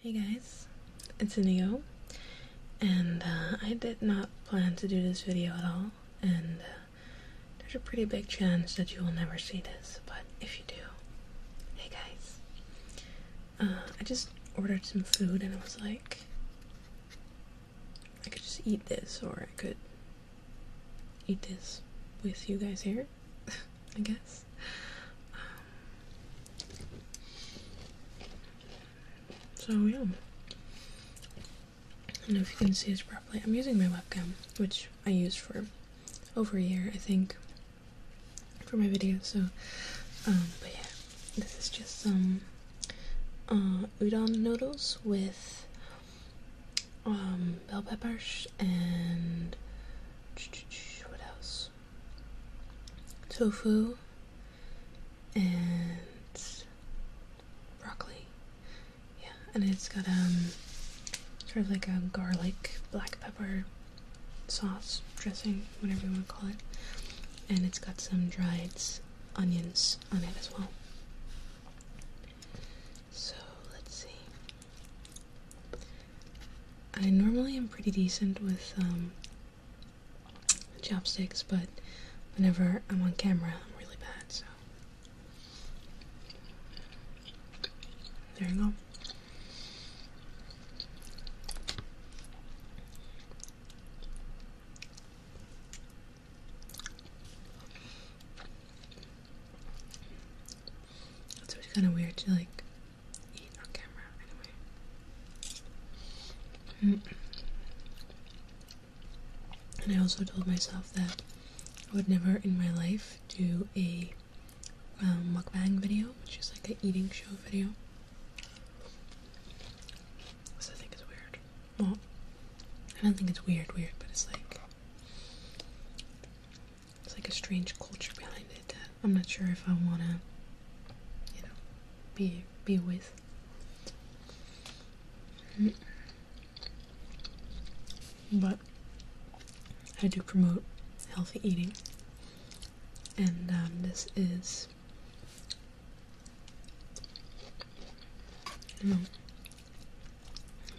Hey guys, it's Inigo, and uh, I did not plan to do this video at all, and uh, there's a pretty big chance that you will never see this, but if you do, hey guys. Uh, I just ordered some food and I was like, I could just eat this, or I could eat this with you guys here, I guess. Um, so yeah. I don't know if you can see this properly. I'm using my webcam, which I used for over a year, I think, for my videos. So, um, but yeah, this is just some uh, udon noodles with um, bell peppers and what else? tofu and broccoli. Yeah, and it's got um sort of like a garlic black pepper sauce dressing, whatever you want to call it. And it's got some dried onions on it as well. So let's see. I normally am pretty decent with um, chopsticks, but whenever I'm on camera, I'm really bad, so. There you go. That's always kind of weird like and mm. I also told myself that I would never in my life do a um, mukbang video, which is like an eating show video. This I think is weird. Well, I don't think it's weird, weird, but it's like it's like a strange culture behind it I'm not sure if I want to, you know, be be with. Mm-hmm. But I do promote healthy eating, and um, this is, you know,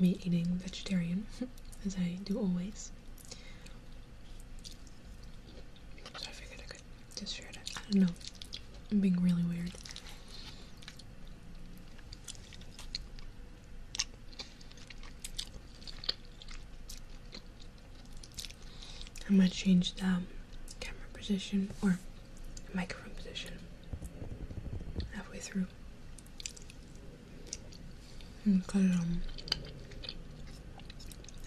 me eating vegetarian, as I do always. So I figured I could just share it. I don't know. I'm being really weird. I'm gonna change the camera position or microphone position halfway through cut it on.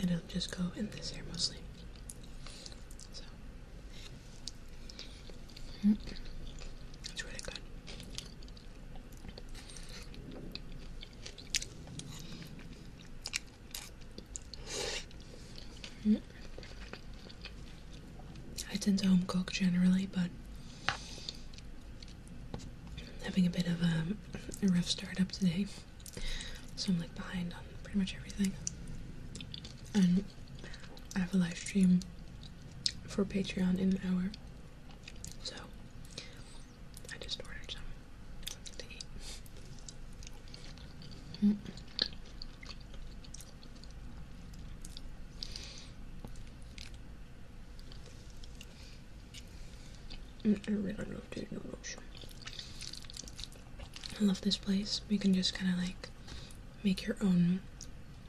And it'll just go in this hair mostly. So mm. it's really good. Mm. I tend to home cook generally, but having a bit of um, a rough start up today, so I'm like behind on pretty much everything. And I have a live stream for Patreon in an hour, so I just ordered some Mm, I love this place. You can just kind of like make your own,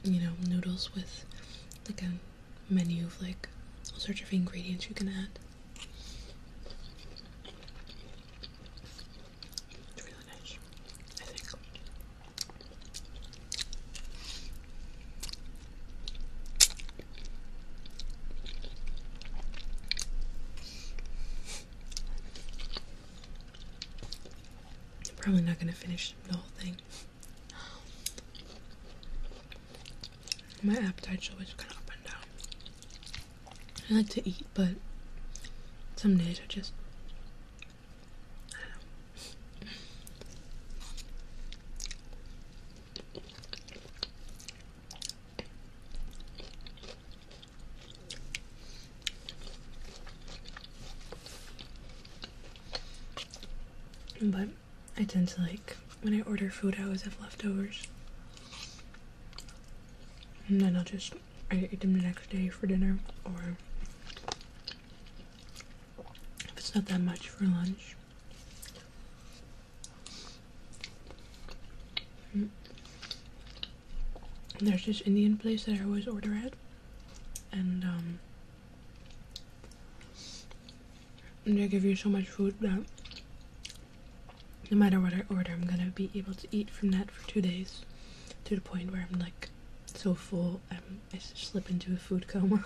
you know, noodles with like a menu of like all sorts of ingredients you can add. It's really nice, I think probably not going to finish the whole thing. My appetite's always kind of up and down. I like to eat, but some days I just but I tend to like when I order food, I always have leftovers, and then I'll just eat them the next day for dinner or it's not that much for lunch. Mm. There's this Indian place that I always order at, and um, they give you so much food that no matter what I order, I'm gonna be able to eat from that for two days to the point where I'm like so full, I'm I slip into a food coma.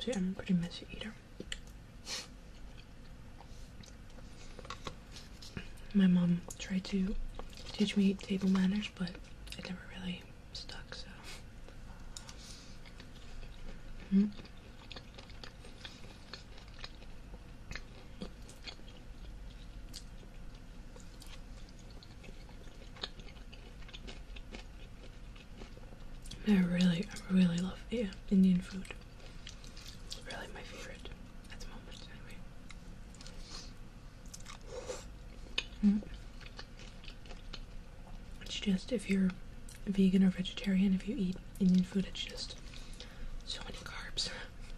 See, I'm a pretty messy eater. My mom tried to teach me table manners, but it never really stuck, so. Hmm? I really, really love yeah, uh, Indian food. really my favorite mm. It's just if you're vegan or vegetarian, if you eat Indian food, it's just so many carbs.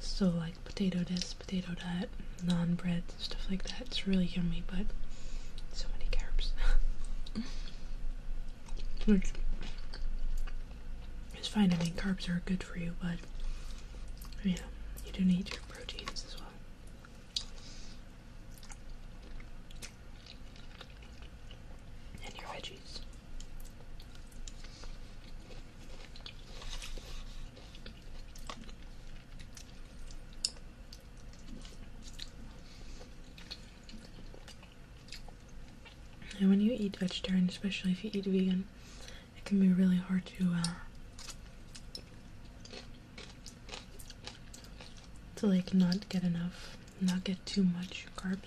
So like potato this, potato that, non bread, stuff like that. It's really yummy, but so many carbs. Which fine. I mean, carbs are good for you, but yeah, you do need your proteins as well. And your veggies. And when you eat vegetarian, especially if you eat vegan, it can be really hard to uh, to like not get enough, not get too much carbs,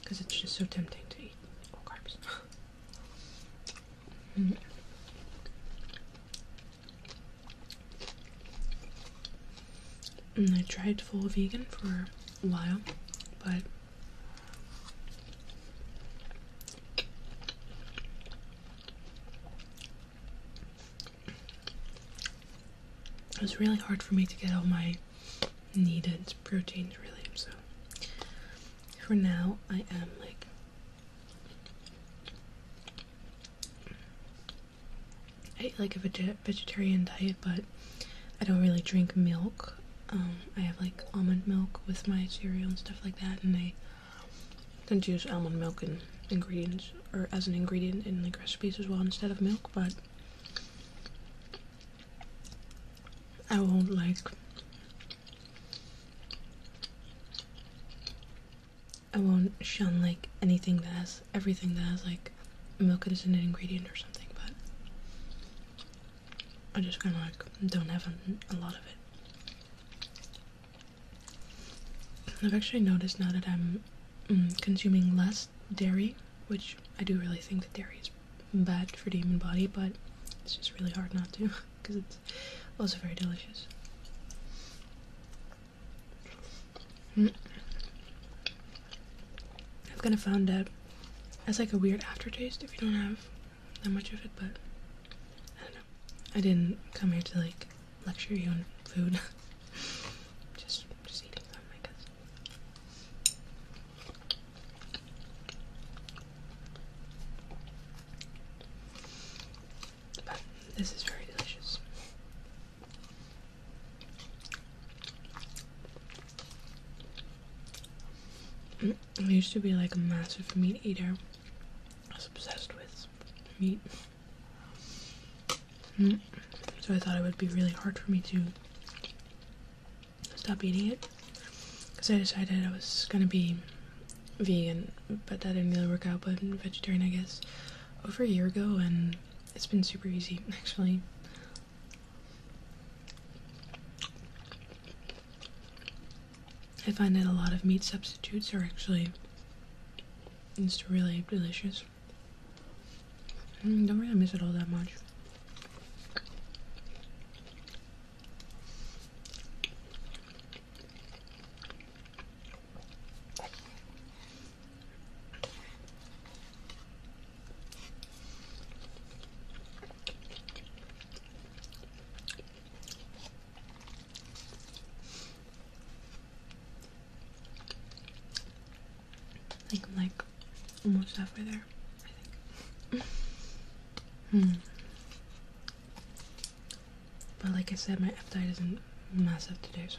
because it's just so tempting to eat all carbs. Mm-hmm. And I tried full vegan for a while, but it was really hard for me to get all my needed proteins, really. So for now I am like I eat like a vegetarian diet, but I don't really drink milk. Um, I have like almond milk with my cereal and stuff like that, and I tend to use almond milk and ingredients or as an ingredient in like recipes as well instead of milk. But I won't like I won't shun like anything that has everything that has like milk as an ingredient or something, but I just kind of like don't have a, lot of it. I've actually noticed now that I'm mm, consuming less dairy, which I do really think that dairy is bad for demon body, but it's just really hard not to because it's also very delicious. Mm. I've kind of found that it's like a weird aftertaste if you don't have that much of it, but I don't know. I didn't come here to like lecture you on food. just, just eating them, I guess this is very delicious. Mm, I used to be like a massive meat eater. I was obsessed with meat. Mm, so I thought it would be really hard for me to stop eating it because I decided I was gonna be vegan, but that didn't really work out. But vegetarian, I guess, over a year ago, and it's been super easy actually. I find that a lot of meat substitutes are actually just really delicious. Mm, don't really miss it all that much. I think I'm like almost halfway there. Hmm. But like I said, my appetite isn't massive today, so.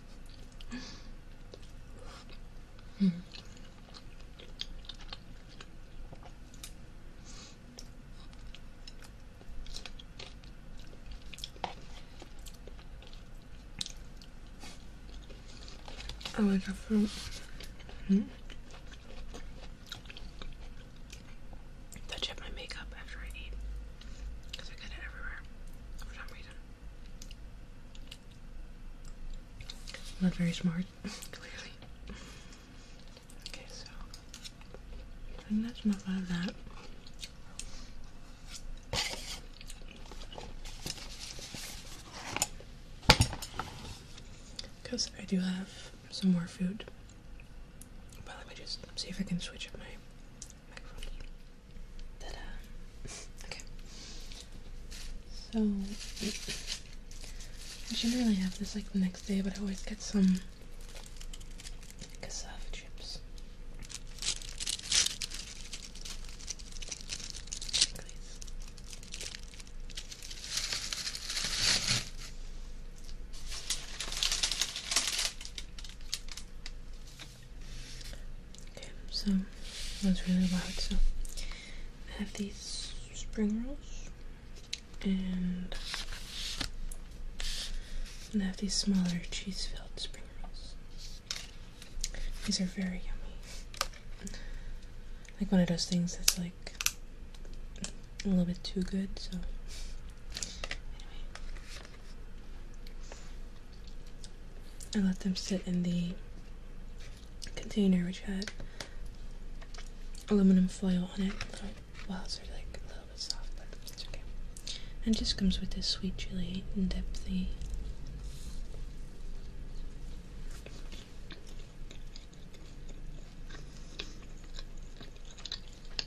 Hmm. I like fruit. Touch up my makeup after I eat because I get it everywhere for some reason. Not very smart, clearly. Okay, so I think that's enough that. Because I do have some more food. But let me just see if I can switch up my okay. So I should really have this like the next day, but I always get some cassava chips. Okay, so that's really loud. So I have these spring rolls and and I have these smaller cheese filled spring rolls. These are very yummy. Like one of those things that's like a little bit too good, so anyway. I let them sit in the container which had aluminum foil on it. Little wells are like a little bit soft, but it's okay. And just comes with this sweet chili and dip thingy.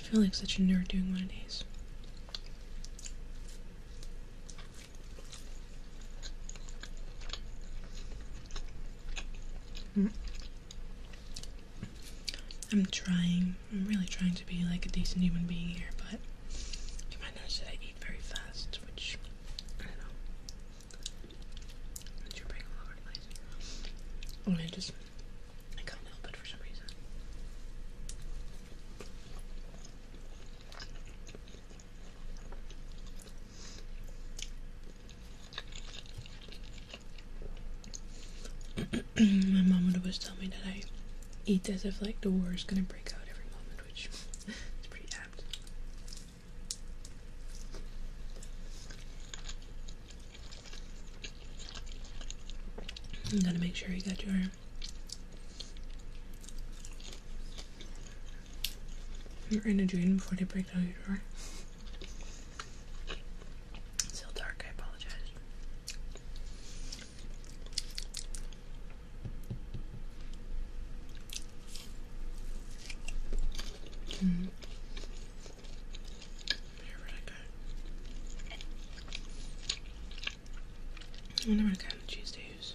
I feel like such a nerd doing one of these. Hmm. I'm trying, I'm really trying to be like a decent human being here, but you might notice that I eat very fast, which I don't know. It's your brain all over oh, I just I can't help it for some reason. My mom would always tell me that I eat as if like the war is gonna break out every moment sandwich. it's pretty gotta make sure you got your your energy in before they break down your door. still dark, I apologize. Mm. They're I wonder what kind of cheese to use.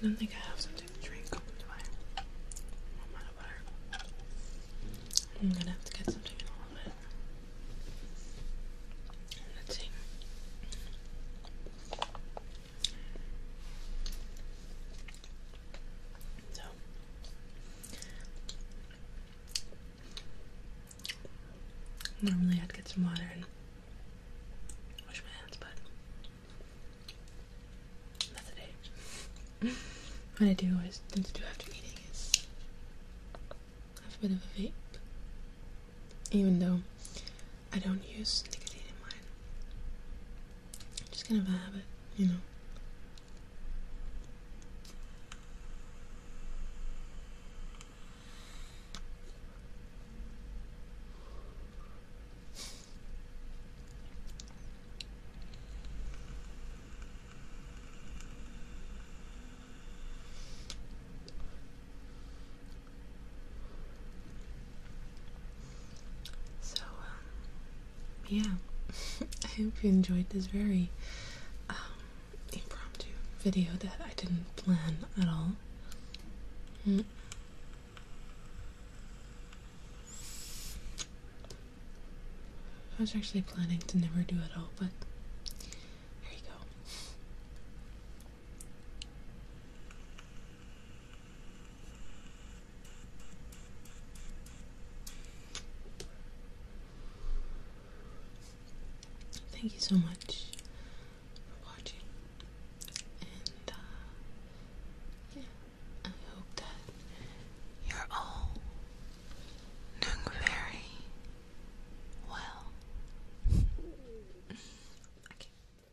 I don't think I have something to drink. I? am gonna have to get something in a little bit. Let's see. So Normally, I'd get some water and wash my hands, but not today. what I do always do after eating is have a bit of a vape, even though I don't use nicotine in mine just gonna vibe it, you know. So, um, yeah, I hope you enjoyed this very um, impromptu video that I didn't plan at all. Mm. I was actually planning to never do it all, but there you go. Thank you so much for watching, and uh, yeah, I hope that you're all doing very well. okay. -bye.